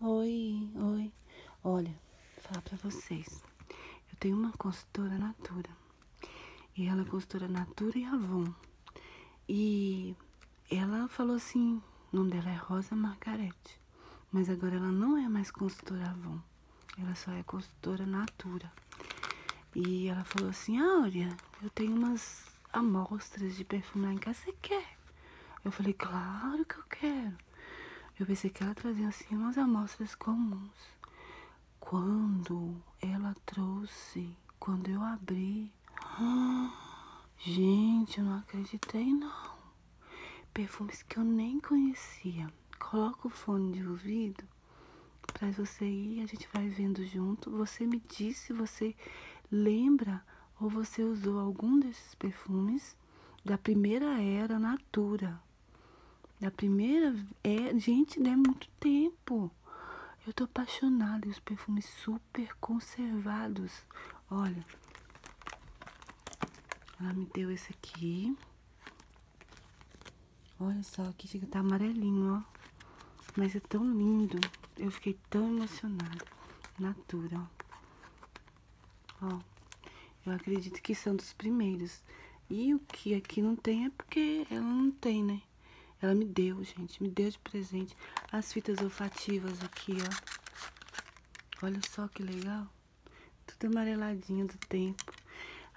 Oi, oi. Olha, vou falar pra vocês. Eu tenho uma consultora Natura. E ela é consultora Natura e Avon. E ela falou assim, o nome dela é Rosa Margarete. Mas agora ela não é mais consultora Avon. Ela só é consultora Natura. E ela falou assim, Áurea, ah, eu tenho umas amostras de perfume em casa, quer? É. Eu falei, claro que eu quero. Eu pensei que ela trazia assim umas amostras comuns. Quando ela trouxe, quando eu abri, gente, eu não acreditei não. Perfumes que eu nem conhecia. Coloca o fone de ouvido para você ir, a gente vai vendo junto. Você me disse, você lembra ou você usou algum desses perfumes da primeira era natura. Da primeira é, gente, né, muito tempo. Eu tô apaixonada e os perfumes super conservados. Olha. Ela me deu esse aqui. Olha só, que chega tá amarelinho, ó. Mas é tão lindo. Eu fiquei tão emocionada. Natura, ó. Ó, eu acredito que são dos primeiros. E o que aqui não tem é porque ela não tem, né? Ela me deu, gente, me deu de presente as fitas olfativas aqui, ó. Olha só que legal. Tudo amareladinho do tempo.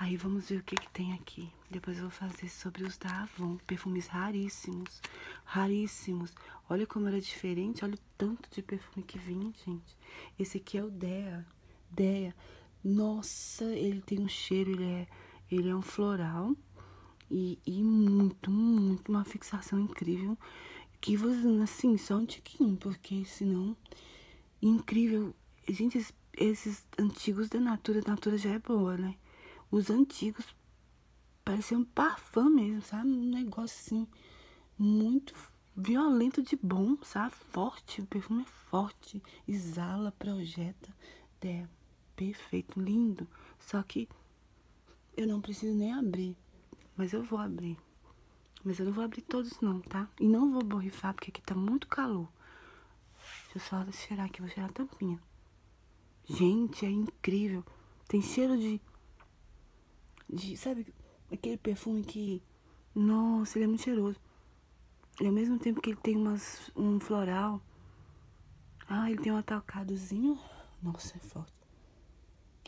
Aí vamos ver o que que tem aqui. Depois eu vou fazer sobre os da Avon, perfumes raríssimos, raríssimos olha como era é diferente, olha o tanto de perfume que vinha, gente. Esse aqui é o Dea. Dea. Nossa, ele tem um cheiro, ele é, ele é um floral. E, muito, muito, uma fixação incrível. Que você, assim, só um tiquinho, porque senão... Incrível. Gente, esses, esses antigos da Natura, a Natura já é boa, né? Os antigos Parecia um parfum mesmo, sabe? Um negócio assim, muito violento de bom, sabe? Forte, o perfume é forte, exala, projeta. É perfeito, lindo. Só que eu não preciso nem abrir, mas eu vou abrir. Mas eu não vou abrir todos não, tá? E não vou borrifar, porque aqui tá muito calor. Deixa eu só cheirar aqui, vou cheirar a tampinha. Gente, é incrível. Tem cheiro de. de sabe aquele perfume que. Nossa, ele é muito cheiroso. E ao mesmo tempo que ele tem umas, um floral. Ah, ele tem um atalcadozinho Nossa, é forte.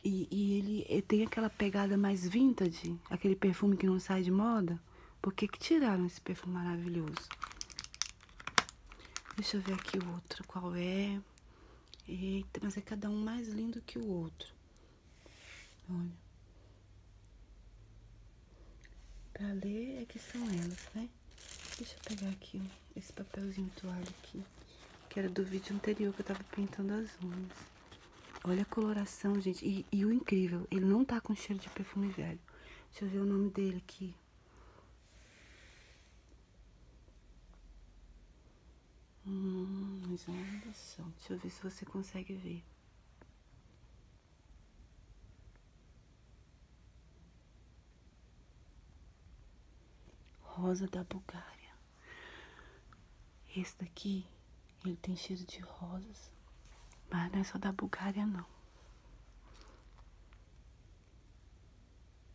E, e ele, ele, tem aquela pegada mais vintage, aquele perfume que não sai de moda. Por que, que tiraram esse perfume maravilhoso? Deixa eu ver aqui outro, qual é? Eita, mas é cada um mais lindo que o outro. Olha. Pra ler é que são elas, né? Deixa eu pegar aqui esse papelzinho toalha aqui, que era do vídeo anterior que eu tava pintando as unhas. Olha a coloração, gente. e o incrível, ele não tá com cheiro de perfume velho. Deixa eu ver o nome dele aqui aqui. Hum, é exoneração. Deixa eu ver se você consegue ver. Rosa da Bulgária. Esse daqui, ele tem cheiro de rosas. Mas não é só da Bulgária, não.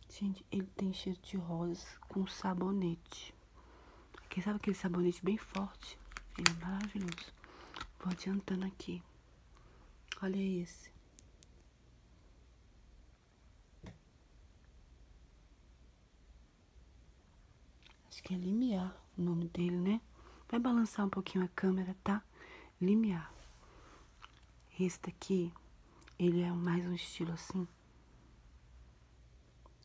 Gente, ele tem cheiro de rosas com sabonete. Quem sabe aquele sabonete bem forte? Ele é maravilhoso. Vou adiantando aqui. Olha esse. Acho que é Limiar o nome dele, né? Vai balançar um pouquinho a câmera, tá? limiar. este aqui ele é mais um estilo assim.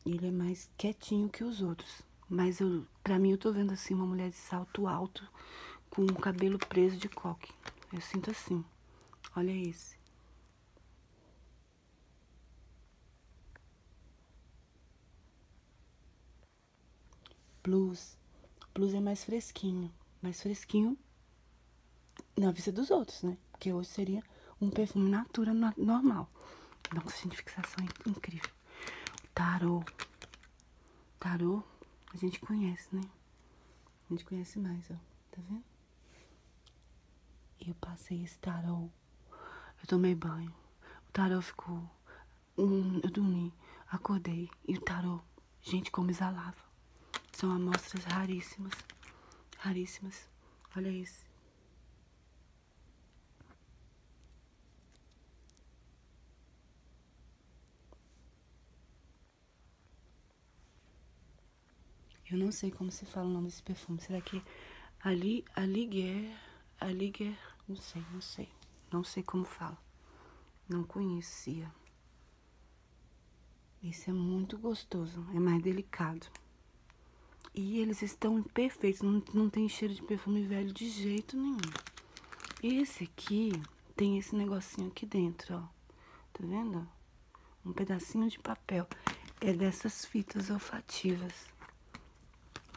Ele é mais quietinho que os outros. Mas eu, pra mim, eu tô vendo assim uma mulher de salto alto com o cabelo preso de coque. Eu sinto assim. Olha esse. Blues. Blues é mais fresquinho. Mais fresquinho na vista dos outros, né? Porque hoje seria um perfume natura normal. Nossa, gente, fixação é incrível. Tarô. Tarô, a gente conhece, né? A gente conhece mais, ó. Tá vendo? Eu passei esse tarô. Eu tomei banho. O tarô ficou. Hum, eu dormi. Acordei. E o tarô Gente, como exalava. São amostras raríssimas. Raríssimas. Olha isso. Eu não sei como se fala o nome desse perfume. Será que Ali, Aliguer, Aliguer, não sei, não sei. Não sei como fala. Não conhecia. Isso é muito gostoso, é mais delicado. E eles estão perfeitos, não, tem cheiro de perfume velho de jeito nenhum. Esse aqui tem esse negocinho aqui dentro, ó. Tá vendo? Um pedacinho de papel. É dessas fitas olfativas.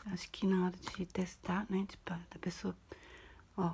Acho que na hora de testar, né, de, tipo, a pessoa, ó,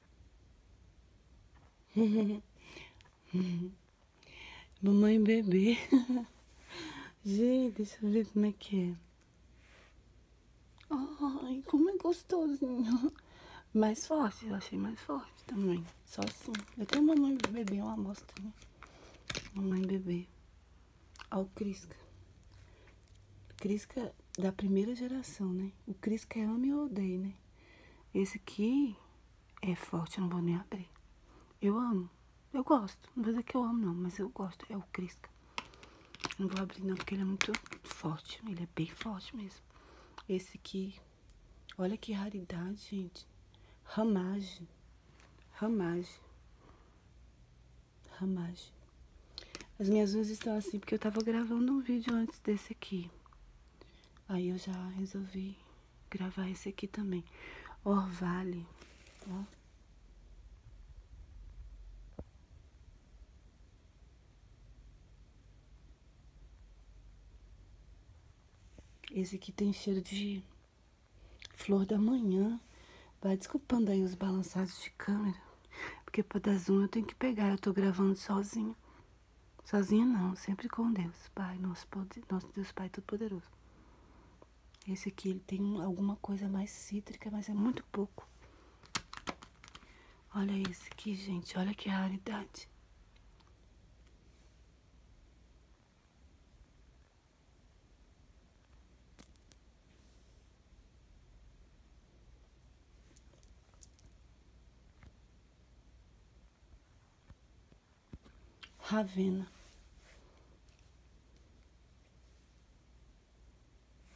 Mamãe bebê. Gente, deixa eu ver como é que é. Ai, como é gostosinho. Mais forte, eu achei mais forte também. Só assim. Eu tenho mamãe bebê, né? uma amostra, né? Mamãe bebê. ao Alcrisca. Crisca da primeira geração, né? O Crisca é ame ou odeio, né? Esse aqui é forte, eu não vou nem abrir. Eu amo. Eu gosto. Não vou dizer que eu amo, não, mas eu gosto. É o Crisca. Não vou abrir, não, porque ele é muito forte. Ele é bem forte mesmo. Esse aqui. Olha que raridade, gente. Ramage. Ramage. Ramage, As minhas luzes estão assim porque eu tava gravando um vídeo antes desse aqui. Aí eu já resolvi gravar esse aqui também. Orvale, ó. Esse aqui tem cheiro de flor da manhã. Vai desculpando aí os balançados de câmera. Porque para dar zoom eu tenho que pegar, eu estou gravando sozinha. Sozinha não, sempre com Deus, Pai, nosso, poder, nosso Deus Pai Todo-Poderoso. Esse aqui ele tem alguma coisa mais cítrica, mas é muito pouco. Olha esse aqui, gente, olha que raridade. Ravena.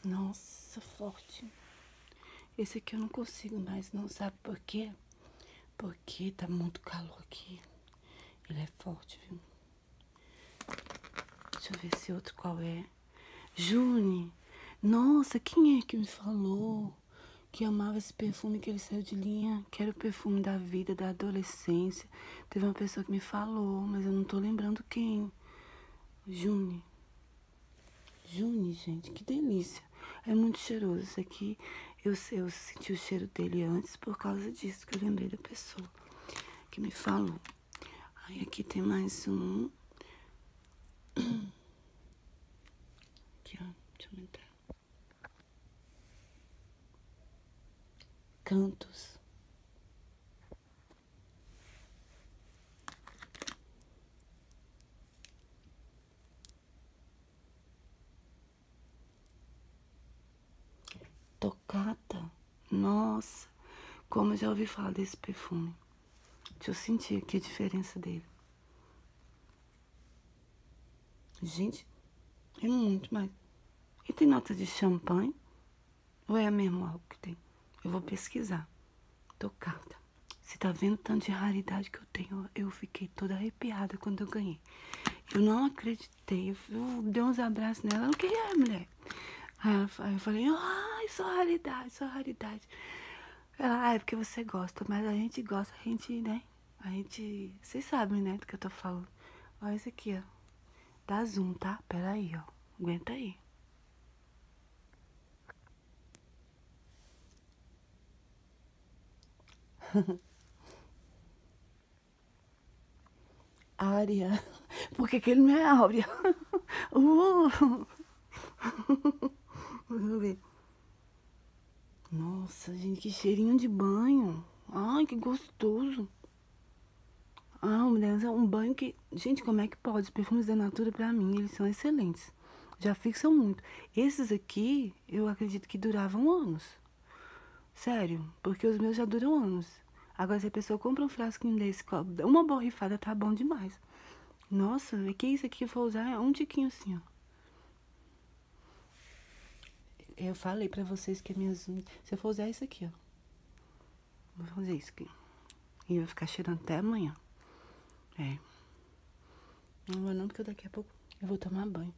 Nossa, forte. Esse aqui eu não consigo mais, não sabe por quê? Porque tá muito calor aqui. Ele é forte, viu? Deixa eu ver esse outro qual é. June, nossa, quem é que me falou que amava esse perfume que ele saiu de linha? Que era o perfume da vida, da adolescência. Teve uma pessoa que me falou, mas eu não tô lembrando quem. June. June, gente, que delícia. É muito cheiroso. Esse aqui, eu, eu senti o cheiro dele antes por causa disso, que eu lembrei da pessoa que me falou. Aí aqui tem mais um. Aqui, aumentar. Cantos. tocada nossa, como eu já ouvi falar desse perfume. Deixa eu sentir aqui a diferença dele. Gente, é muito mais. E tem nota de champanhe? Ou é a mesmo algo que tem? Eu vou pesquisar. Tocada. Você tá vendo tanto de raridade que eu tenho? Eu fiquei toda arrepiada quando eu ganhei. Eu não acreditei. Eu, dei uns abraços nela. Eu não é, mulher. Aí, eu falei, ai, só raridade, só raridade. Ela, ah, é porque você gosta, mas a gente gosta, a gente, né? A gente. Vocês sabem, né, do que eu tô falando. Olha isso aqui, ó. Dá zoom, tá? Pera aí, ó. Aguenta aí. Área. Porque que, ele não é Áurea? Uh. Vamos ver. Nossa, gente, que cheirinho de banho. Ai, que gostoso. Ah, mulheres, é um banho que... Gente, como é que pode? Os perfumes da Natura, pra mim, eles são excelentes. Já fixam muito. Esses aqui, eu acredito que duravam anos. Sério, porque os meus já duram anos. Agora, se a pessoa compra um frasquinho desse, uma borrifada tá bom demais. Nossa, é que isso aqui que eu vou usar é um tiquinho assim, ó. Eu falei pra vocês que minhas... Se eu for usar isso aqui, ó. Vou fazer isso aqui. E vai ficar cheirando até amanhã. É. Não vou não, porque daqui a pouco eu vou tomar banho.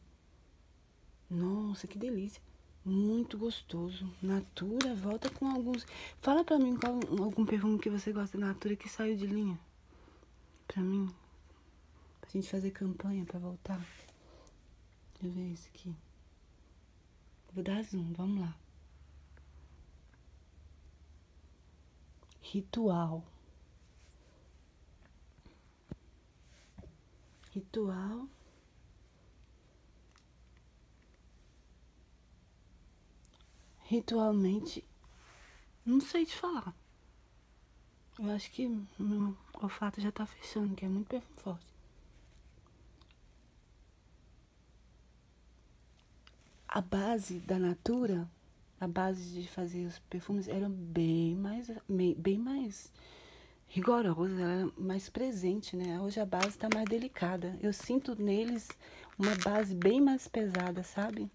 Nossa, que delícia. Muito gostoso. Natura, volta com alguns. Fala pra mim qual algum perfume que você gosta da Natura que saiu de linha. Pra mim. Pra gente fazer campanha pra voltar. Deixa eu ver esse aqui. Vou dar zoom, vamos lá. Ritual. Ritual. Ritualmente, não sei te falar. Eu acho que meu olfato já tá fechando, que é muito perfume forte. A base da Natura, a base de fazer os perfumes, era bem mais, bem mais rigorosa, ela é mais presente, né? Hoje a base está mais delicada. Eu sinto neles uma base bem mais pesada, sabe?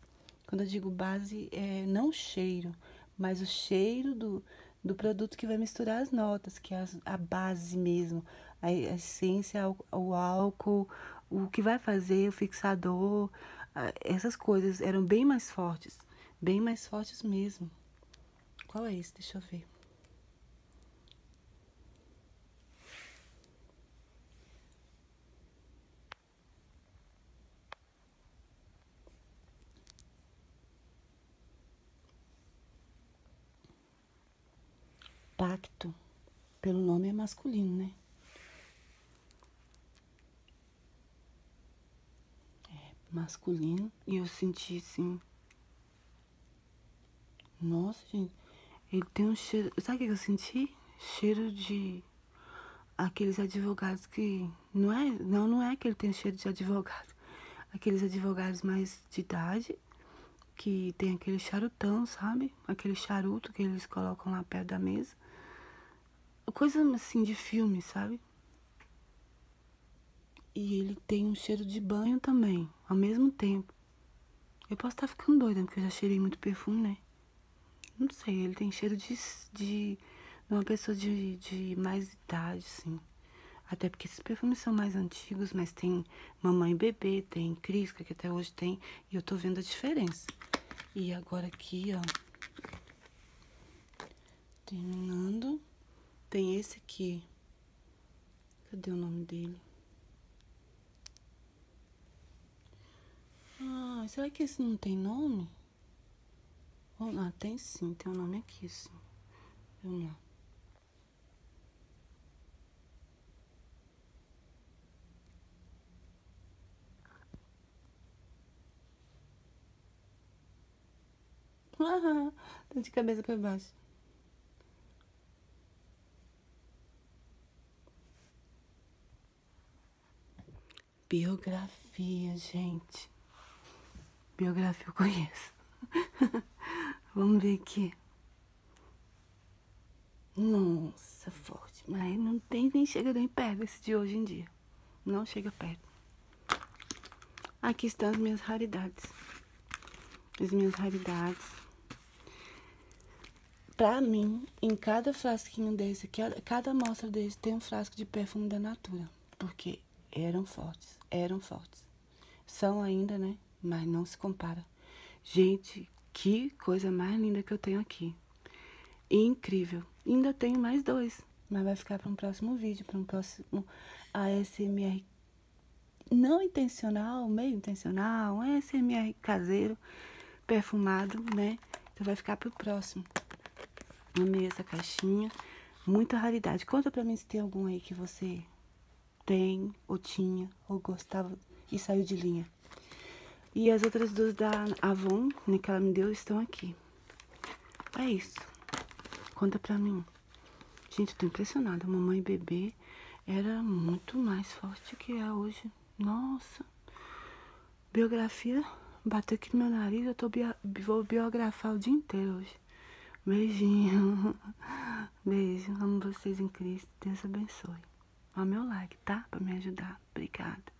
Quando eu digo base, é não cheiro, mas o cheiro do, do produto que vai misturar as notas, que é a, base mesmo, a, essência, o, álcool, o que vai fazer, o fixador, essas coisas eram bem mais fortes, bem mais fortes mesmo. Qual é esse? Deixa eu ver. Pacto. Pelo nome é masculino, né? é, masculino e eu senti assim. Nossa, gente, ele tem um cheiro. Sabe o que eu senti? Cheiro de aqueles advogados que. Não é, não, não é que ele tem cheiro de advogado. Aqueles advogados mais de idade que tem aquele charutão, sabe? Aquele charuto que eles colocam lá perto da mesa. Coisa assim de filme, sabe? E ele tem um cheiro de banho também, ao mesmo tempo. Eu posso estar ficando doida, porque eu já cheirei muito perfume, né? Não sei, ele tem cheiro de, de, uma pessoa de, de mais idade, assim. Até porque esses perfumes são mais antigos, mas tem Mamãe Bebê, tem Crisca, que até hoje tem. E eu tô vendo a diferença. E agora aqui, ó. Terminando. Tem esse aqui. Cadê o nome dele? Ah, será que esse não tem nome? Oh, ah, não, tem sim, tem o nome aqui, sim. Vamos lá tá de cabeça para baixo. Biografia, gente. Biografia eu conheço. Vamos ver aqui. Nossa, forte. Mas não tem nem chega nem perto esse de hoje em dia. Não chega perto. Aqui estão as minhas raridades. As minhas raridades. Para mim, em cada frasquinho desse, cada amostra desse tem um frasco de perfume da Natura. Porque eram fortes, eram fortes. São ainda, né? Mas não se compara. Gente, que coisa mais linda que eu tenho aqui. Incrível. Ainda tenho mais dois mas vai ficar para um próximo vídeo, para um próximo ASMR não intencional, meio intencional, um ASMR caseiro, perfumado, né? Então vai ficar para o próximo. Amei essa caixinha, muita raridade. Conta para mim se tem algum aí que você tem, ou tinha, ou gostava e saiu de linha. E as outras duas da Avon, né, que ela me deu, estão aqui. É isso. Conta pra mim. Gente, eu tô impressionada. A mamãe bebê era muito mais forte que é hoje. Nossa. Biografia bateu aqui no meu nariz. Eu tô bio... vou biografar o dia inteiro hoje. Beijinho. Beijo. Amo vocês em Cristo. Deus abençoe. Ó meu like, tá? Pra me ajudar. Obrigada.